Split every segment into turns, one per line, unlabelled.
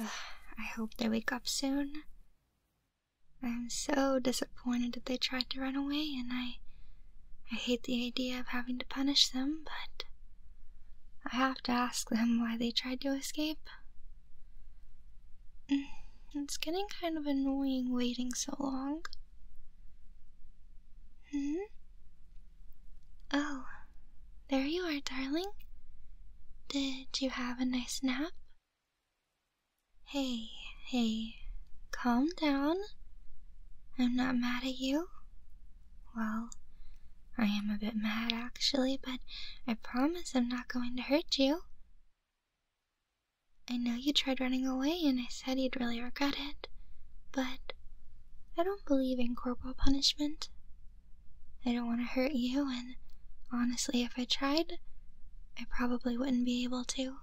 I hope they wake up soon. I'm so disappointed that they tried to run away, and I. I hate the idea of having to punish them, but. I have to ask them why they tried to escape. Mm, it's getting kind of annoying waiting so long. Hmm? Oh, there you are, darling. Did you have a nice nap? Hey, hey, calm down. I'm not mad at you. Well, I am a bit mad actually, but I promise I'm not going to hurt you. I know you tried running away and I said you'd really regret it, but I don't believe in corporal punishment. I don't want to hurt you, and honestly, if I tried, I probably wouldn't be able to.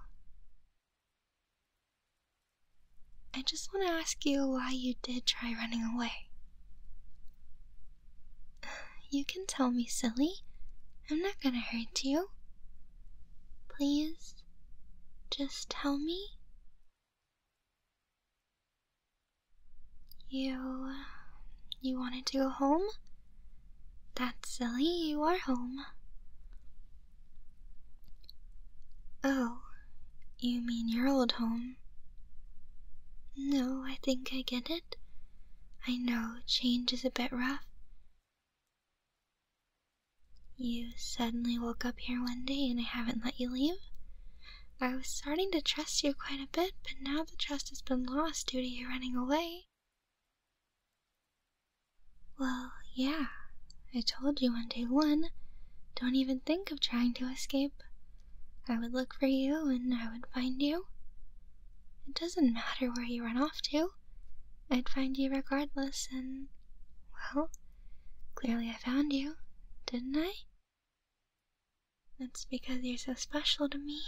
I just want to ask you why you did try running away. You can tell me, silly. I'm not gonna hurt you. Please just tell me. You. you wanted to go home? That's silly, you are home. Oh, you mean your old home? No, I think I get it. I know change is a bit rough. You suddenly woke up here one day and I haven't let you leave? I was starting to trust you quite a bit, but now the trust has been lost due to your running away. Well, yeah, I told you one day one. Don't even think of trying to escape. I would look for you and I would find you. It doesn't matter where you run off to. I'd find you regardless, and, well, clearly I found you, didn't I? That's because you're so special to me.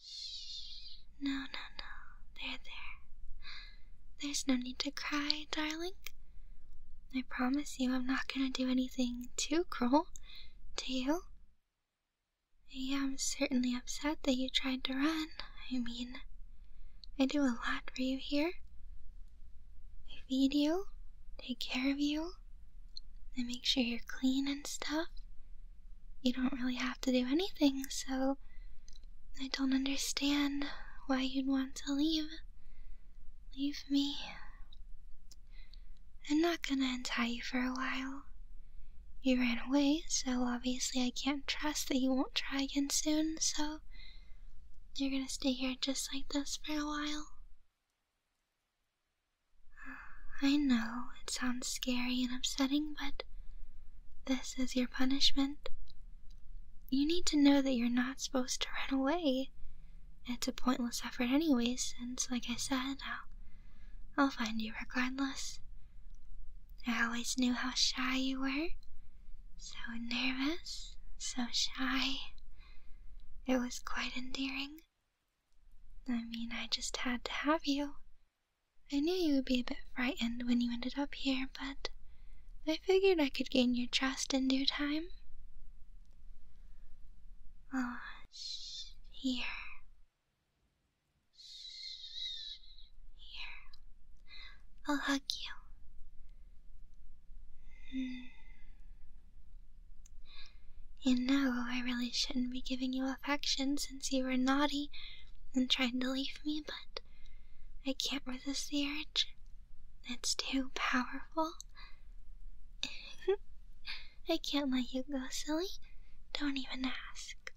Shh. No, no, no. There, there. There's no need to cry, darling. I promise you I'm not gonna do anything too cruel Do you. I am certainly upset that you tried to run. I mean, I do a lot for you here. I feed you, take care of you, and make sure you're clean and stuff. You don't really have to do anything, so I don't understand why you'd want to leave. Leave me. I'm not gonna untie you for a while. You ran away, so obviously I can't trust that you won't try again soon, so you're gonna stay here just like this for a while. I know it sounds scary and upsetting, but this is your punishment. You need to know that you're not supposed to run away. It's a pointless effort, anyway, since, like I said, i I'll find you regardless. I always knew how shy you were. So nervous, so shy. It was quite endearing. I mean, I just had to have you. I knew you would be a bit frightened when you ended up here, but I figured I could gain your trust in due time. Oh, here. Here, I'll hug you. Hmm. You know, I really shouldn't be giving you affection since you were naughty and trying to leave me, but I can't resist the urge. It's too powerful. I can't let you go, silly. Don't even ask.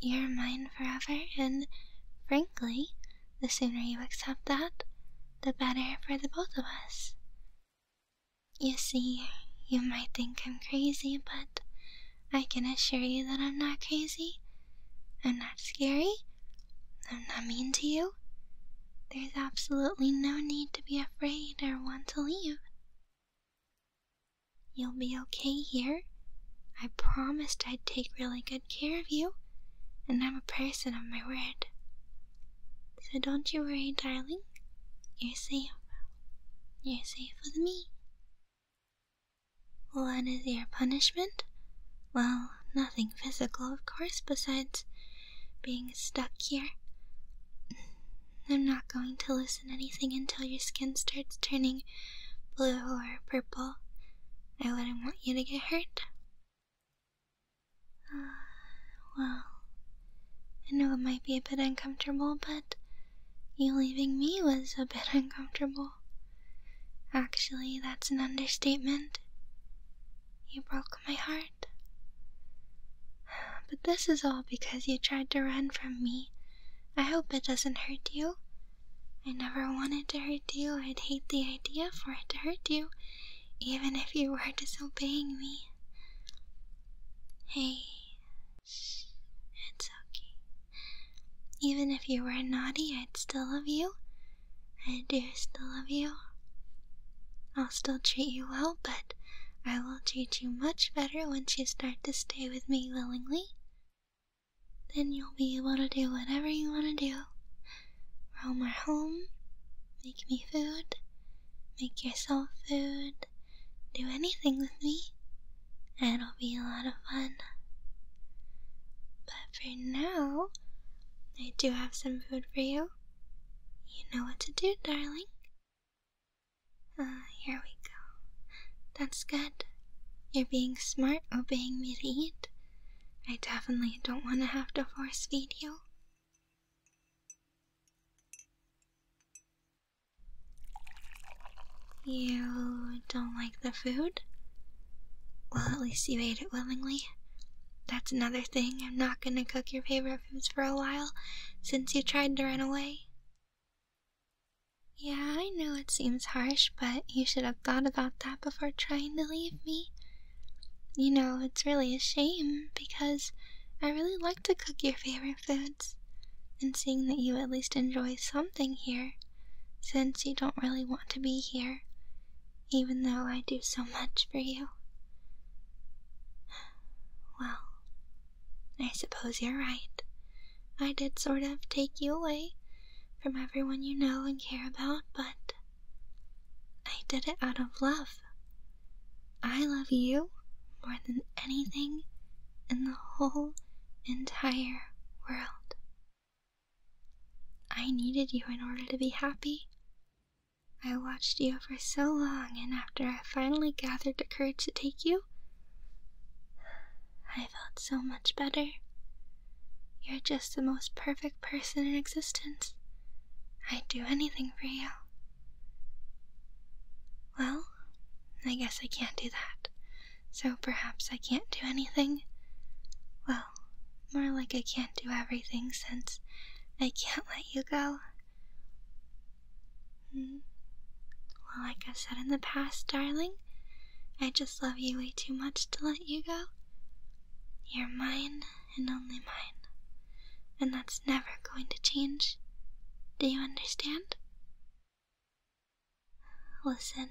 You're mine forever, and frankly, the sooner you accept that, the better for the both of us. You see, you might think I'm crazy, but I can assure you that I'm not crazy. I'm not scary. I'm not mean to you. There's absolutely no need to be afraid or want to leave. You'll be okay here. I promised I'd take really good care of you, and I'm a person of my word. So don't you worry, darling. You're safe. You're safe with me. What is your punishment? Well, nothing physical, of course, besides being stuck here. I'm not going to loosen anything until your skin starts turning blue or purple. I wouldn't want you to get hurt. Uh, well, I know it might be a bit uncomfortable, but you leaving me was a bit uncomfortable. Actually, that's an understatement. You broke my heart. But this is all because you tried to run from me. I hope it doesn't hurt you. I never wanted to hurt you. I'd hate the idea for it to hurt you, even if you were disobeying me. Hey, shh, it's okay. Even if you were naughty, I'd still love you. I do still love you. I'll still treat you well, but I will treat you much better once you start to stay with me willingly. Then you'll be able to do whatever you want to do roam our home, make me food, make yourself food, do anything with me. It'll be a lot of fun. But for now, I do have some food for you. You know what to do, darling. Ah, here we go. That's good. You're being smart obeying me to eat. I definitely don't want to have to force feed you. You don't like the food? Well, at least you ate it willingly. That's another thing. I'm not gonna cook your favorite orphans for a while since you tried to run away? Yeah, I know it seems harsh, but you should have thought about that before trying to leave me. You know, it's really a shame because I really like to cook your favorite foods, and seeing that you at least enjoy something here, since you don't really want to be here, even though I do so much for you. Well, I suppose you're right. I did sort of take you away from everyone you know and care about, but I did it out of love. I love you more than anything in the whole entire world. I needed you in order to be happy. I watched you for so long, and after I finally gathered the courage to take you, I felt so much better. You're just the most perfect person in existence. I'd do anything for you. Well, I guess I can't do that, so perhaps I can't do anything. Well, more like I can't do everything since I can't let you go. Mm. Well, like i said in the past, darling, I just love you way too much to let you go. You're mine and only mine, and that's never going to change. Do you understand? Listen,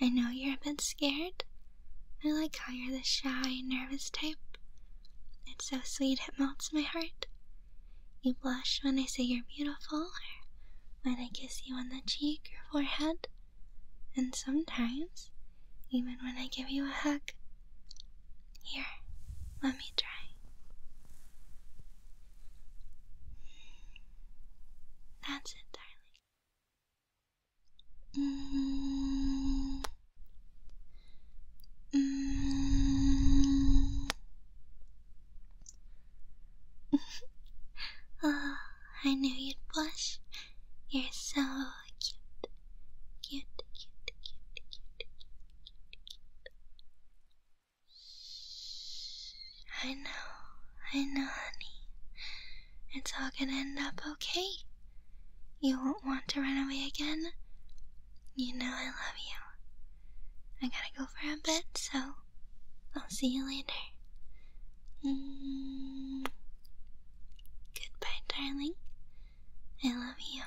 I know you're a bit scared, I like how you're the shy, nervous type. It's so sweet it melts my heart. You blush when I say you're beautiful, or when I kiss you on the cheek or forehead, and sometimes even when I give you a hug. Here, let me try. That's it, darling. Mm. Mm. oh, I knew you'd blush. You're so cute. Cute, I know, I know, honey. It's all gonna end up okay. You won't want to run away again. You know I love you. I gotta go for a bit, so I'll see you later. Mm. Goodbye, darling. I love you.